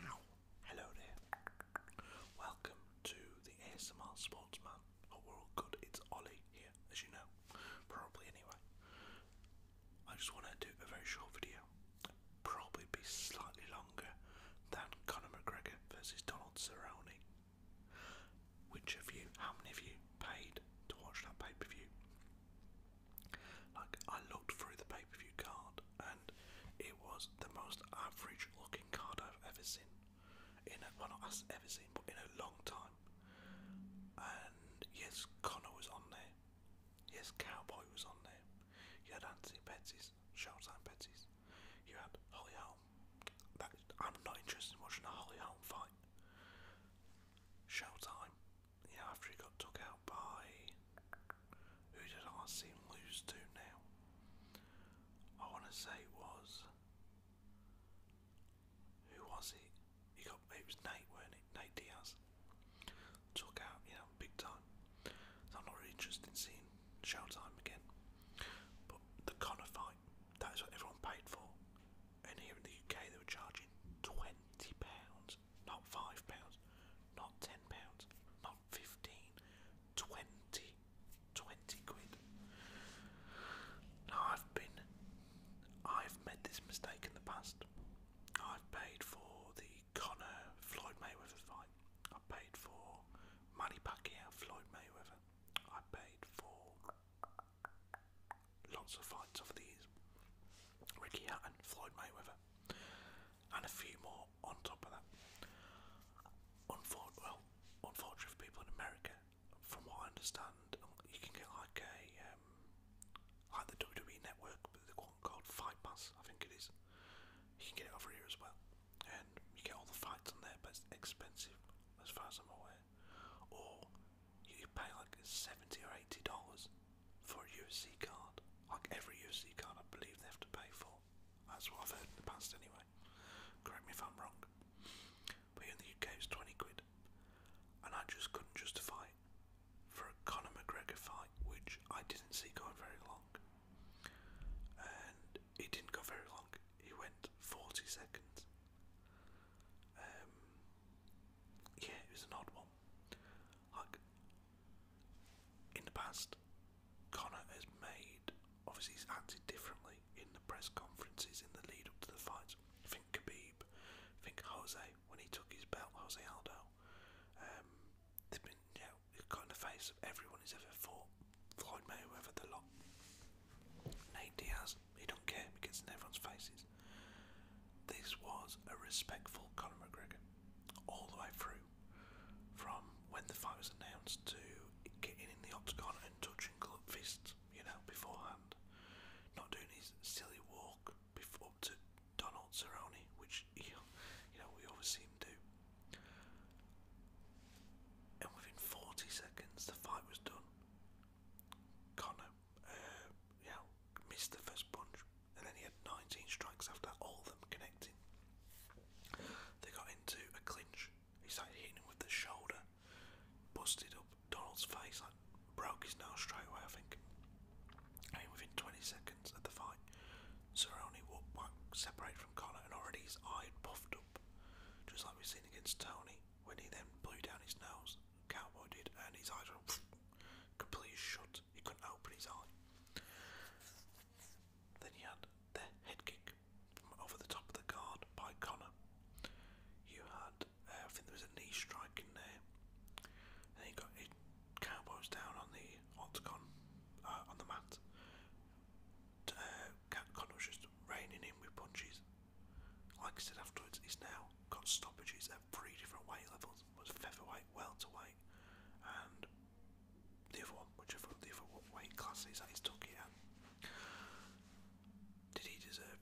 Wow, hello there. Welcome to the ASMR Sportsman. Oh, we're all good. It's Ollie here, as you know. Probably anyway. I just want to do a very short video. Probably be slightly longer than Conor McGregor versus Donald Cerrone. Which of you, how many of you paid to watch that pay per view? Like, I looked through the pay per view card, and it was the most average looking card I've ever seen. In a, well, not ever seen, but in a long time. And yes, Connor was on there. Yes, Cowboy was on there. You had Anthony Pettis, Showtime Pettis. You had Holly Holm. I'm not interested in watching a Holly Holm fight. Showtime you after he got took out by who did I see lose to now? I want to say it was who was it? He got it was Nate, weren't it? Nate Diaz took out, you know, big time. So I'm not really interested in seeing Showtime again. But the Connor fight, that is what everyone paid for. And here in the UK, they were charging twenty pounds not five pounds, not ten pounds, not fifteen, twenty, twenty quid. Now I've been, I've made this mistake in the past. I've paid for the Connor Floyd Mayweather fight. I paid for Manny Pacquiao Floyd Mayweather. I paid for lots of fights over the years. Ricky Hatton, Floyd Mayweather and a few more on top of that. Unfor well, unfortunately people in America, from what I understand, um, you can get like a um, like the WWE Network, but the one called Fight Pass, I think it is. You can get it over here as well, and you get all the fights on there, but it's expensive as far as I'm aware. Or you pay like seventy or eighty dollars for a UC card. Like every UC card, I believe they have to pay for. That's what I've heard in the past, anyway. Correct me if I'm wrong. But in the UK, it's 20 quid. And I just couldn't justify for a Conor McGregor fight, which I didn't see going very long. And it didn't go very long, he went 40 seconds. Um, yeah, it was an odd one. Like, in the past, Connor has made, obviously, he's acted differently in the press conferences in the lead up to the fights. Think Khabib, think Jose when he took his belt, Jose Aldo. Um, they've been, you know, got the face of everyone he's ever fought. Floyd Mayweather, the lot. Nate Diaz, he don't care, he gets in everyone's faces. This was a respectful Conor McGregor all the way through from when the fight was announced to getting in the octagon and touching club fists, you know, beforehand. Not doing his silly walk before up to Donald Cerrone, which he, you know we always see him do. And within 40 seconds, the fight was done. Connor, uh, yeah, missed the first punch, and then he had 19 strikes after all of them connecting. They got into a clinch. He started hitting him with the shoulder, busted up Donald's face, like broke his nose straight away. I think. I within 20 seconds of the fight, Cerrone walked back, separated from Connor, and already his eye puffed up, just like we seen against Tony when he then blew down his nose. Cowboy did, and his eyes were completely shut. He couldn't open his eye. Then he had the head kick over the top of the guard by Connor. You had, uh, I think there was a knee strike in there. And he got his cowboys down on the octagon, uh, on the mat. Uh, was just reining in with punches. Like I said afterwards, he's now got stoppages at three different weight levels was featherweight, welterweight, and the other one, whichever the other weight class is that he's stuck at. Did he deserve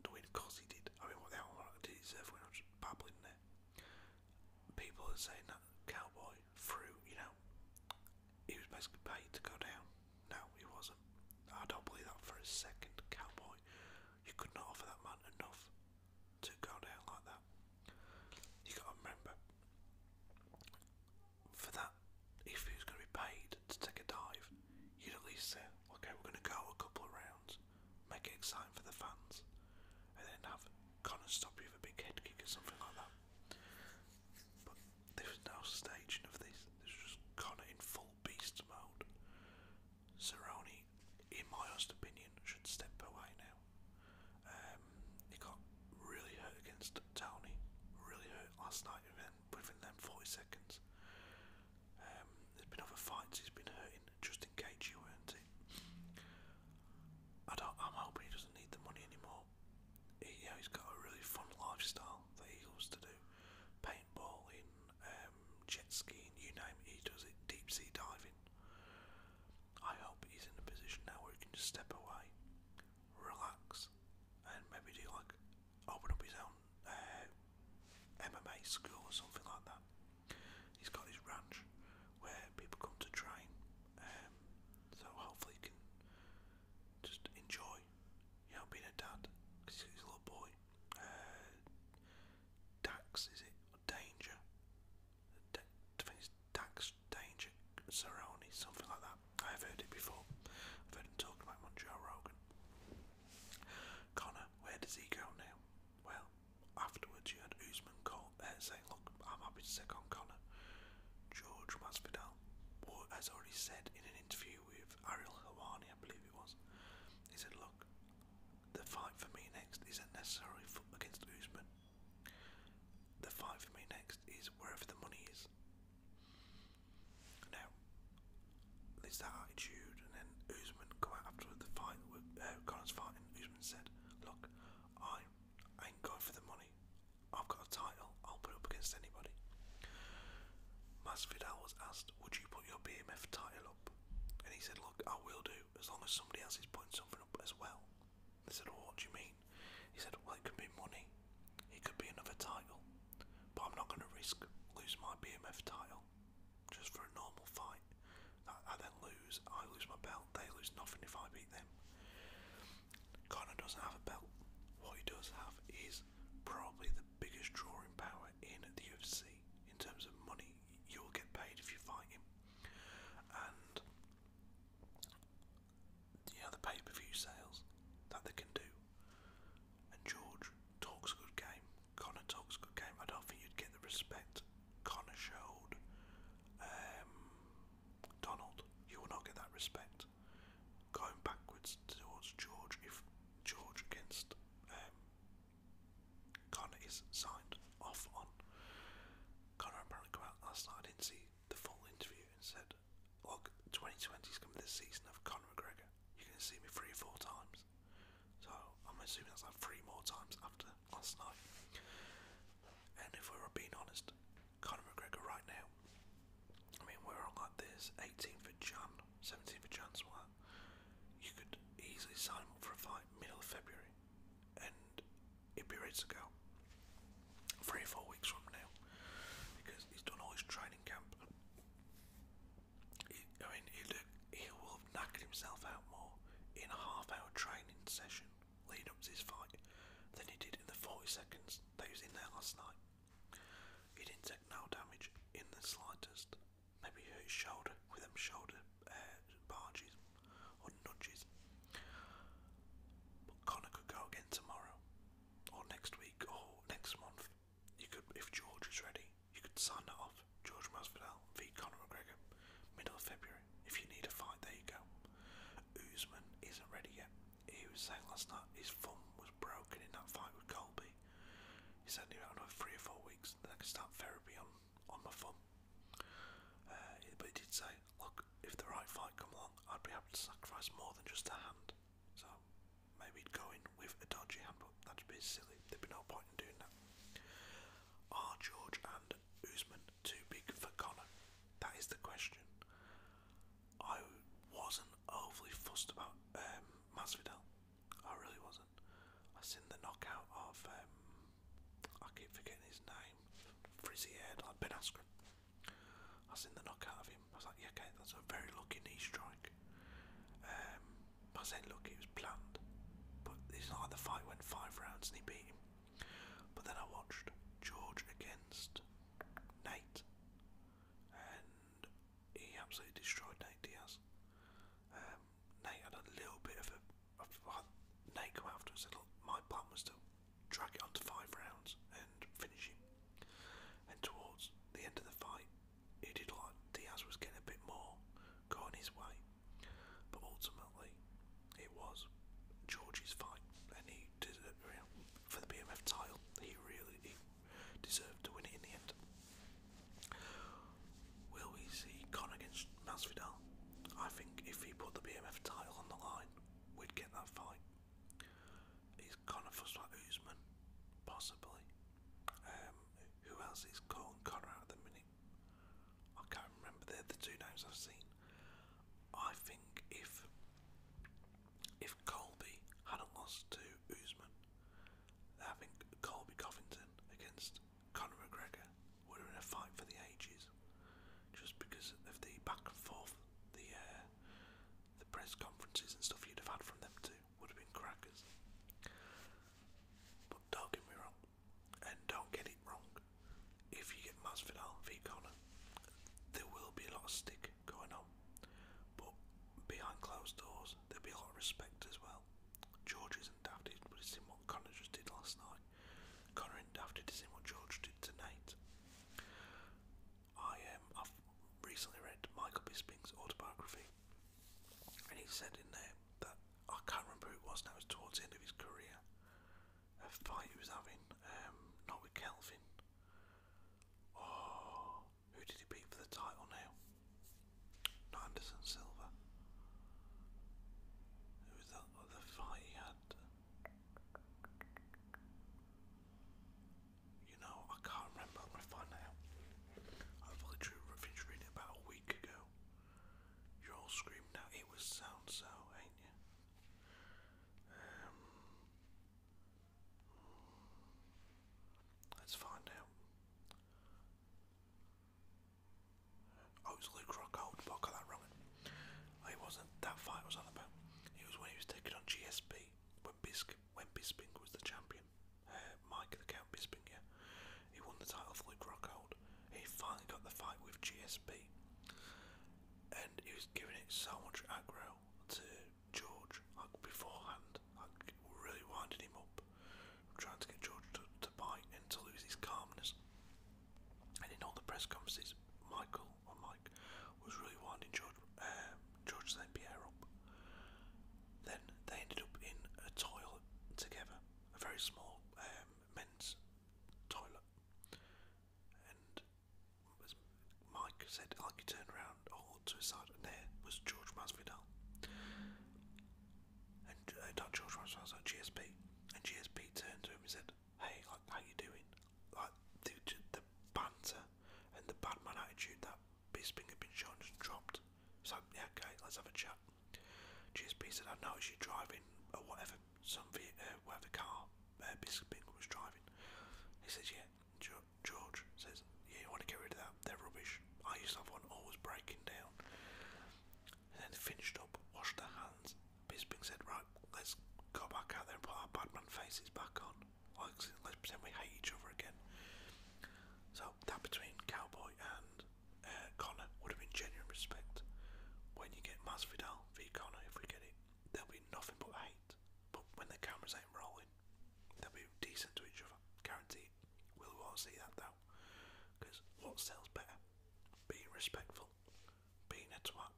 the win? Of course he did. I mean, what the hell did he deserve when I was babbling there? People are saying that Cowboy threw, you know, he was basically paid to go down. No, he wasn't. I don't believe that for a second, Cowboy. You could not offer that man enough to go down like that. You got to remember, for that, if he was going to be paid to take a dive, you'd at least say, okay, we're going to go a couple of rounds, make it exciting for the fans, and then have Connor stop you with a big head kick or something like that. But there was no staging of this, this was Connor in full beast mode. Cerrone, in my honest opinion, should step away now. Um, he got really hurt against Tony, really hurt last night within, within them 40 seconds. Um, there's been other fights he's been hurting, just in weren't it. I don't, I'm hoping he doesn't need the money anymore. He, you he's got a really fun lifestyle that he to do. Paintballing, um, jet skiing, you name it, he does it, deep sea diving. I hope he's in a position now where he can just step away, relax, and maybe do like open up his own uh, MMA school or something like that. He's got his ranch where people come to train, um, so hopefully he can just enjoy, you know, being a dad he's a little boy. Uh, Dax is it? Or Danger? Dax Danger Cerrone, something like that. I have heard it before. I've heard him talking about him on Connor, where does he go now? Well, afterwards you had Usman call, saying, look, I'm happy to take Connor. George Masvidal has already said in an interview with Ariel Helwani, I believe it was, he said, look, the fight for me next isn't necessarily against Usman. The fight for me next is wherever the money is. Now, there's that attitude, and then Usman go out after the fight with uh, Connor's fight, and Usman said, "Look, I, I ain't going for the money. I've got a title. I'll put up against anybody." Masvidal was asked, "Would you put your BMF title up?" And he said, I will do, as long as somebody else is putting something up as well. They said, well, what do you mean? He said, well, it could be money, it could be another title, but I'm not going to risk losing my BMF title just for a normal fight. I, I then lose, I lose my belt, they lose nothing if I beat them. Connor doesn't have a belt. What he does have is probably the biggest drawing power in the UFC in terms of money you will get paid if you fight him. And you the pay per view sales that they can do. And George talks a good game. Conor talks a good game. I don't think you'd get the respect Conor showed um, Donald. You will not get that respect. Going backwards towards George if George against um, Conor is signed off on. Connor apparently came out last night. I didn't see the full interview and said, "Look, twenty twenty is going to be the season of Conor McGregor. You're gonna see me three or four times." So I'm assuming that's like three more times after last night. And if we are being honest, Conor McGregor right now. I mean, we're on like this 18th of Jan, 17th of Jan, so you could easily sign him up for a fight middle of February and he'll be ready to go three four weeks from now because he's done all his training camp. I mean, look, he will have knackered himself out more in a half hour training session leading up to his fight than he did in the 40 seconds that he was in there last night. He didn't take no damage in the slightest maybe hurt his shoulder with them shoulder uh, barges or nudges. But Connor could go again tomorrow, or next week, or next month. You could, if George is ready, you could sign off. George Masvidal v Conor McGregor, middle of February. If you need a fight, there you go. Usman isn't ready yet. He was saying last night his thumb was broken in that fight with Colby. He said he had three or four weeks, then I start therapy on on my thumb. Uh, but it did say, look, if the right fight come along, I'd be happy to sacrifice more than just a hand. So maybe go in with a dodgy hand, but that'd be silly. There'd be no point in doing that. Are George and Usman too big for Connor? That is the question. I wasn't overly fussed about um, Masvidal. I really was. not thousand. I seen the knockout of um, I keep forgetting his name, frizzy haired like Ben Askren. I seen the knockout of him. I was like, yeah, okay, that's a very lucky knee strike. Um, I said, look, it was planned, but it's not like the fight went five rounds and he beat him. But then I watched George against Nate, and he absolutely destroyed Nate Diaz. Um, Nate had a little bit of a. Well, Nate come after and said, Look, my plan was to drag it on to five rounds and finish him. And towards the end of the fight, he did like Diaz was getting a bit more going his way. But ultimately, it was George's fight, and he did it for the BMF title. He really he deserved to win it in the end. Will we see Conor against Masvidal? I think if he put the BMF title on the line, we'd get that fight. Is Conor fussed like Usman? Possibly. Um, who else is calling Conor out at the minute? I can't remember. They're the two names I've seen. I think if if Colby had a loss to Usman, I Colby Covington against Conor McGregor were in a fight for the ages, just because of the back and forth, the uh, the press conferences and stuff you'd have had from them too would have been crackers. But don't get me wrong, and don't get it wrong. If you get Masvidal v Conor, there will be a lot of stick going on, but behind closed doors there'll be a lot of respect as well. George Daft, but it's in what Connor just did last night. Connor and Daft is in what George did tonight. I um, recently read Michael Bisping's autobiography, and he said in there that I can't remember who it was now. It was towards the end of his career, a fight he was having, um, not with Kelvin. Oh, who did he beat for the title now? Anderson Silva. Who was that other fight he had? You know, I can't remember. I'm going to find out. I've literally finished about a week ago. You're all screaming out, it was sound so, ain't you? Um, let's find out it was Luke Rockhold, but I got that it wasn't that fight was on about. It was when he was taking on GSP when Bisk when Bisping was the champion. Uh, Mike the Count Bisping, yeah. He won the title for Luke Rockhold. He finally got the fight with GSP. And he was giving it so much aggro to George, like beforehand, like really winding him up trying to get George to, to bite and to lose his calmness. And in all the press conferences, Michael or Mike was really winding George, um, St. Pierre up. Then they ended up in a toilet together, a very small um, men's toilet. And Mike said, like he turned around all to and there was George Masvidal. And uh, Dr. George was like, GSP. And GSP turned to him and said, hey, like, how you doing? Like, the, banter and the badman attitude that Bisping had been shown just dropped. So, yeah, okay, let's have a chat. GSP said, I noticed you driving, or whatever, some uh, whatever car Bisping uh, was driving. He says, yeah. George says, yeah, you want to get rid of that? they're rubbish. I used to have one always breaking down. And then finished up, washed their hands. Bisping said, right, let's go back out there and put our Batman faces back on. Like, let's pretend we hate each other again. So that between Cowboy and uh, Connor would have been genuine respect. When you get Masvidal v Connor, if we get it, there'll be nothing but hate. But when the cameras ain't rolling, they'll be decent to each other. Guarantee. We will all see that though now. Because what sells better? Being respectful, being a twat.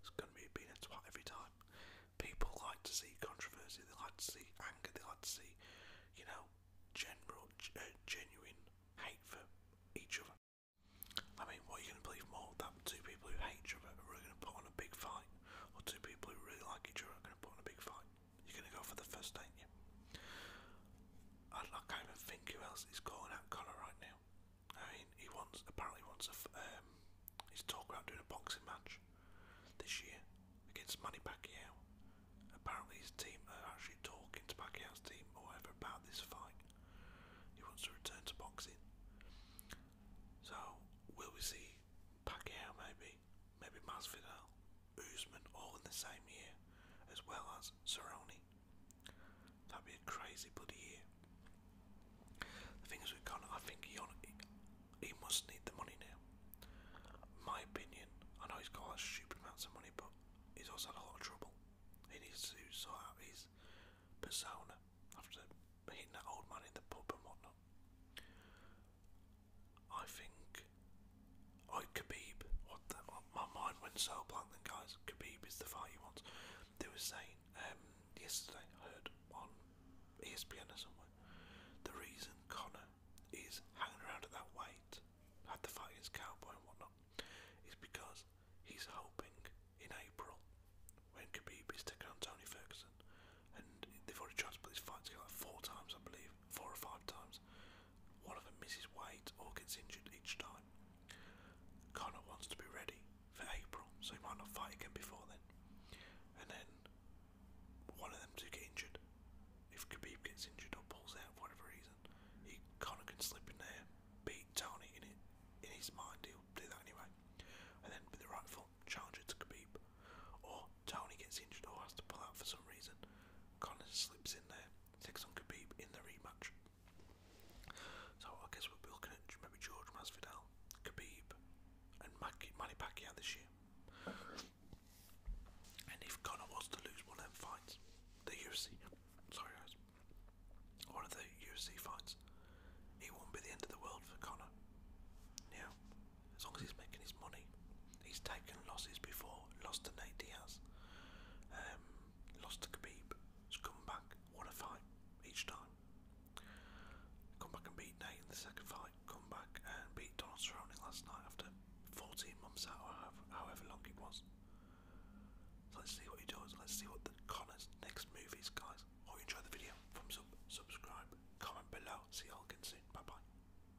It's going to be being a twat every time. People like to see controversy, they like to see anger, they like to see, you know, general, uh, genuine hate for each other. I mean, what are you going to believe more? That two people who hate each other are really going to put on a big fight, or two people who really like each other are going to put on a big fight? You're going to go for the first, ain't you? I, I can't even think who else is calling out Connor right now. I mean, he wants apparently wants a. Um, he's talking about doing a boxing match this year against Manny Pacquiao. Apparently, his team are actually talking to Pacquiao's team or whatever about this fight. He wants to return to boxing. So, will we see Pacquiao maybe Maybe, maybe Masvidal, Usman, all in the same year, as well as Cerrone. That'd be a crazy bloody year. The thing is with Conor, I think he, he, must need the money now. My opinion, I know he's got a amounts of money, but he's also had a lot of trouble. He needs to sort out his persona after hitting that old man in the pub and whatnot. I think. Oh, Khabib. my mind went so blank then, guys. Khabib is the fight he wants. They were saying um, yesterday, heard on ESPN or somewhere, the reason Connor is hanging around at that weight, had the fight against Cowboy and whatnot, is because he's hoping in April, when Khabib is taking on Tony Ferguson, and they've already tried to put this fight together four times, I believe, four or five times. One of them misses weight or gets injured each time. Connor wants to be ready for April, so he might not fight again before then. And then one of them to get injured. If Khabib gets injured or pulls out for whatever reason, he Connor can slip in there, beat Tony in it. In his mind, he'll do that anyway, and then be the right rightful challenger to Khabib. Or Tony gets injured or has to pull out for some reason, Connors slips in there, takes on Khabib in the rematch. So I guess we'll be maybe George Masvidal, Khabib, and Manny Pacquiao this year. And if Connor was to lose one of them fights, the UFC, sorry guys, one of the UFC fights, it won't be the end of the world for Connor. Yeah, as long as he's making his money. He's taken losses before, lost to Nate Diaz, um, lost to Khabib, has come back, won a fight each time. Come back and beat Nate in the second fight, come back and beat Donald Cerrone last night after 14 months out however, long it was. let's see what he does, let's see what the Connor's next move is guys. Hope you enjoyed the video, thumbs up, subscribe, comment below, see you all again soon, bye bye.